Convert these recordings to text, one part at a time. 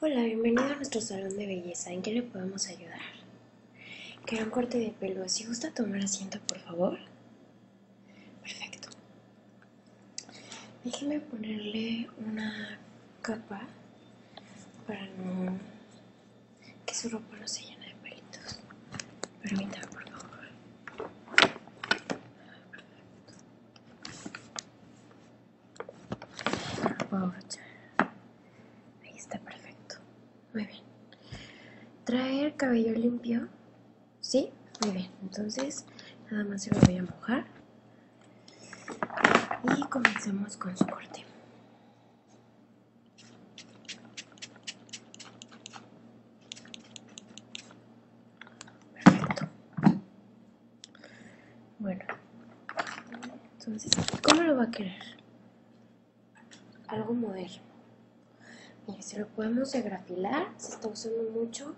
Hola, bienvenido a nuestro salón de belleza. ¿En qué le podemos ayudar? Queda un corte de pelo. Si gusta tomar asiento, por favor. Perfecto. Déjeme ponerle una capa para que su ropa no se llene de pelitos. Permítame, por favor. Ahí está perfecto. Muy bien. ¿Traer cabello limpio? Sí, muy bien. Entonces, nada más se lo voy a mojar. Y comencemos con su corte. Perfecto. Bueno, entonces, ¿cómo lo va a querer? Algo moderno. Mire, si lo podemos agrafilar, se está usando mucho,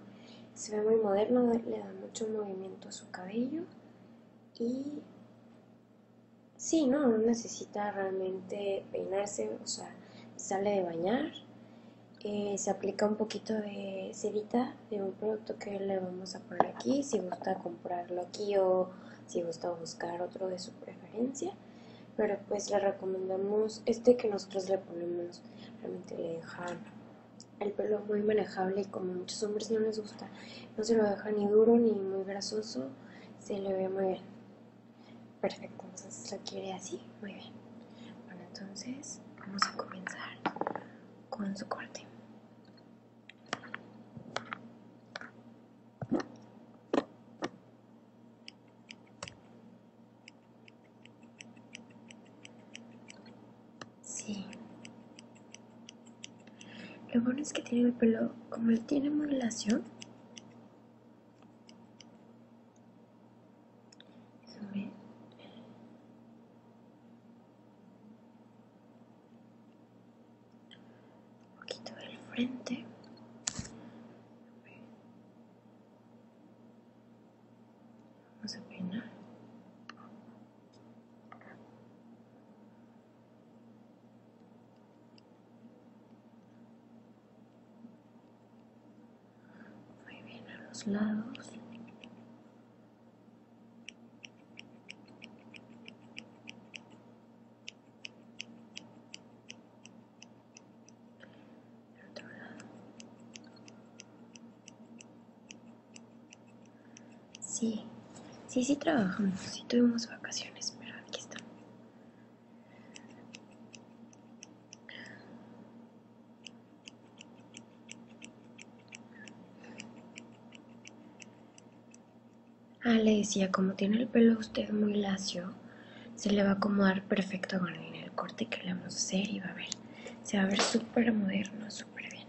se ve muy moderno, le da mucho movimiento a su cabello y sí, no, no necesita realmente peinarse, o sea, sale de bañar eh, se aplica un poquito de cerita de un producto que le vamos a poner aquí, si gusta comprarlo aquí o si gusta buscar otro de su preferencia. Pero pues le recomendamos este que nosotros le ponemos, realmente le deja el pelo muy manejable y como muchos hombres no les gusta, no se lo deja ni duro ni muy grasoso, se le ve muy bien. Perfecto, entonces lo quiere así, muy bien. Bueno, entonces vamos a comenzar con su corte. Sí. Lo bueno es que tiene el pelo, como él tiene modulación sobre un poquito del frente. Vamos a peinar muy bien a los lados sí sí sí trabajamos sí tuvimos vacaciones pero aquí estamos ah, le decía, como tiene el pelo usted muy lacio, se le va a acomodar perfecto con el corte que le vamos a hacer y va a ver, se va a ver súper moderno, súper bien.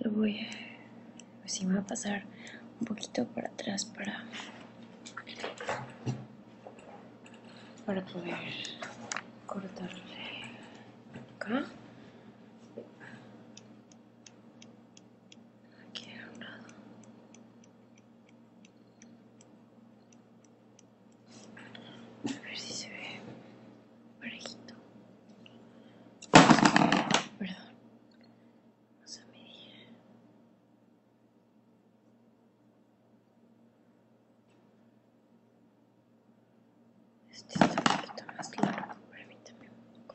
Lo voy a... Pues a pasar un poquito para atrás para... Para poder cortarle acá. un lado. A ver si se ve parejito. Perdón. Vamos a medir. Este está un poquito más largo, permítame un poco.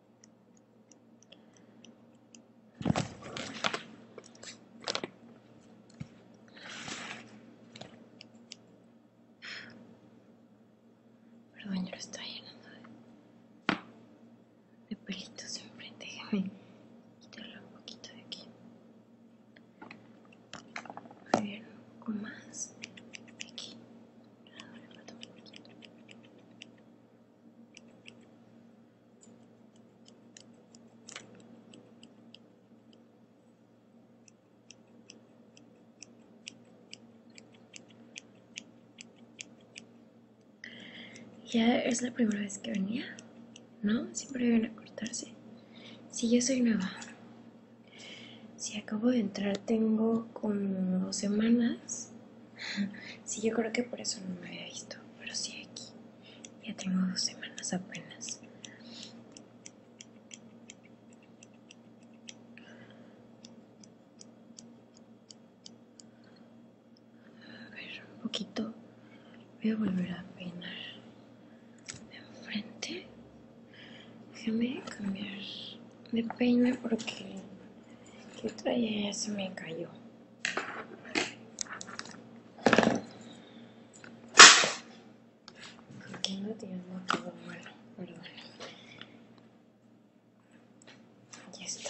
Perdón, yo lo estoy llenando de, pelitos enfrente. Déjame quitarlo un poquito de aquí. A ver, un poco más. de Aquí. Ah, ya es la primera vez que venía, ¿no? Siempre vienen a cortarse. Si yo soy nueva. Si acabo de entrar, tengo como dos semanas. Sí, yo creo que por eso no me había visto, pero sí aquí. Ya tengo dos semanas apenas. A ver, un poquito. Voy a volver a peinar de enfrente. Déjame cambiar. Me peine porque que traía eso me cayó. Aquí no un todo mal, perdón. Ya está.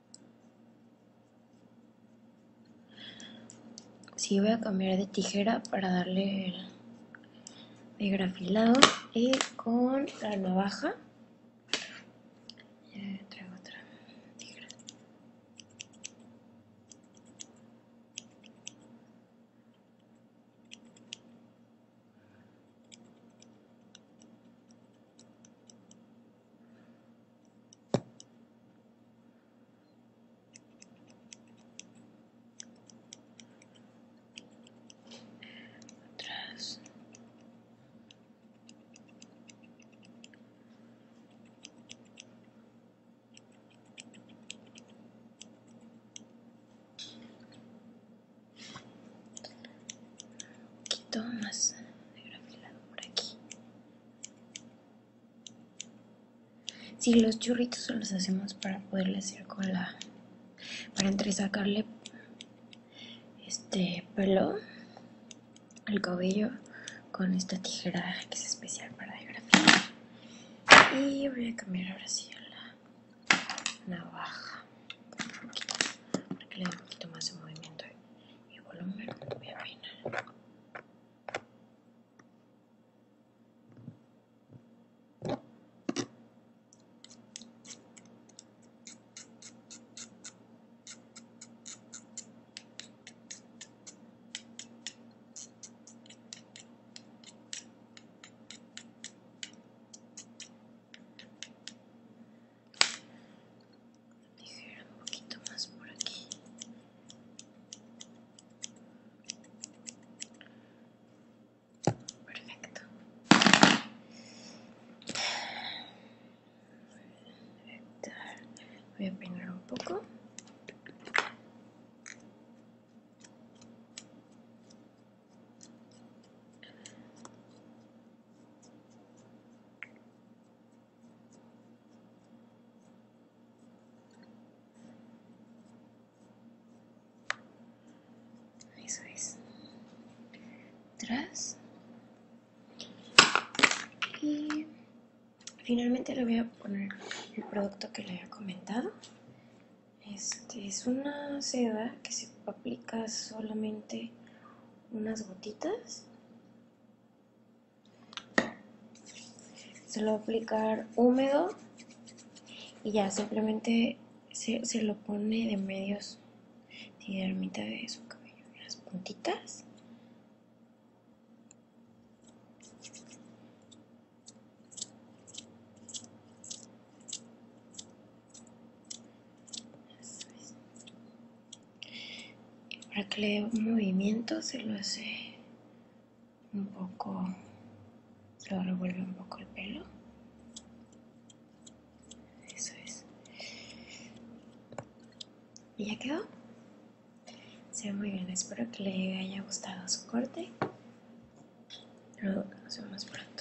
si voy a cambiar de tijera para darle el grafilado y con la navaja traigo otra tijera atrás. Que de grafilado por aqui. Si los churritos los hacemos para poderle hacer con la. para entresacarle este pelo al cabello con esta tijera que es especial para el Y voy a cambiar ahora sí a la navaja. para que le dé un poquito más de movimiento y volumen de a ligera un poquito más por aquí perfecto voy a peinar un poco eso es. Y finalmente le voy a poner el producto que le había comentado. Este es una seda que se aplica solamente unas gotitas. Se lo va a aplicar húmedo y ya simplemente se, se lo pone de medios y de mitad de su cabello, las puntitas. Y para que le dé un movimiento se lo hace un poco, se lo revuelve un poco el pelo. Eso es. Y ya quedó. Se ve muy bien. Espero que le haya gustado su corte. Nos vemos pronto.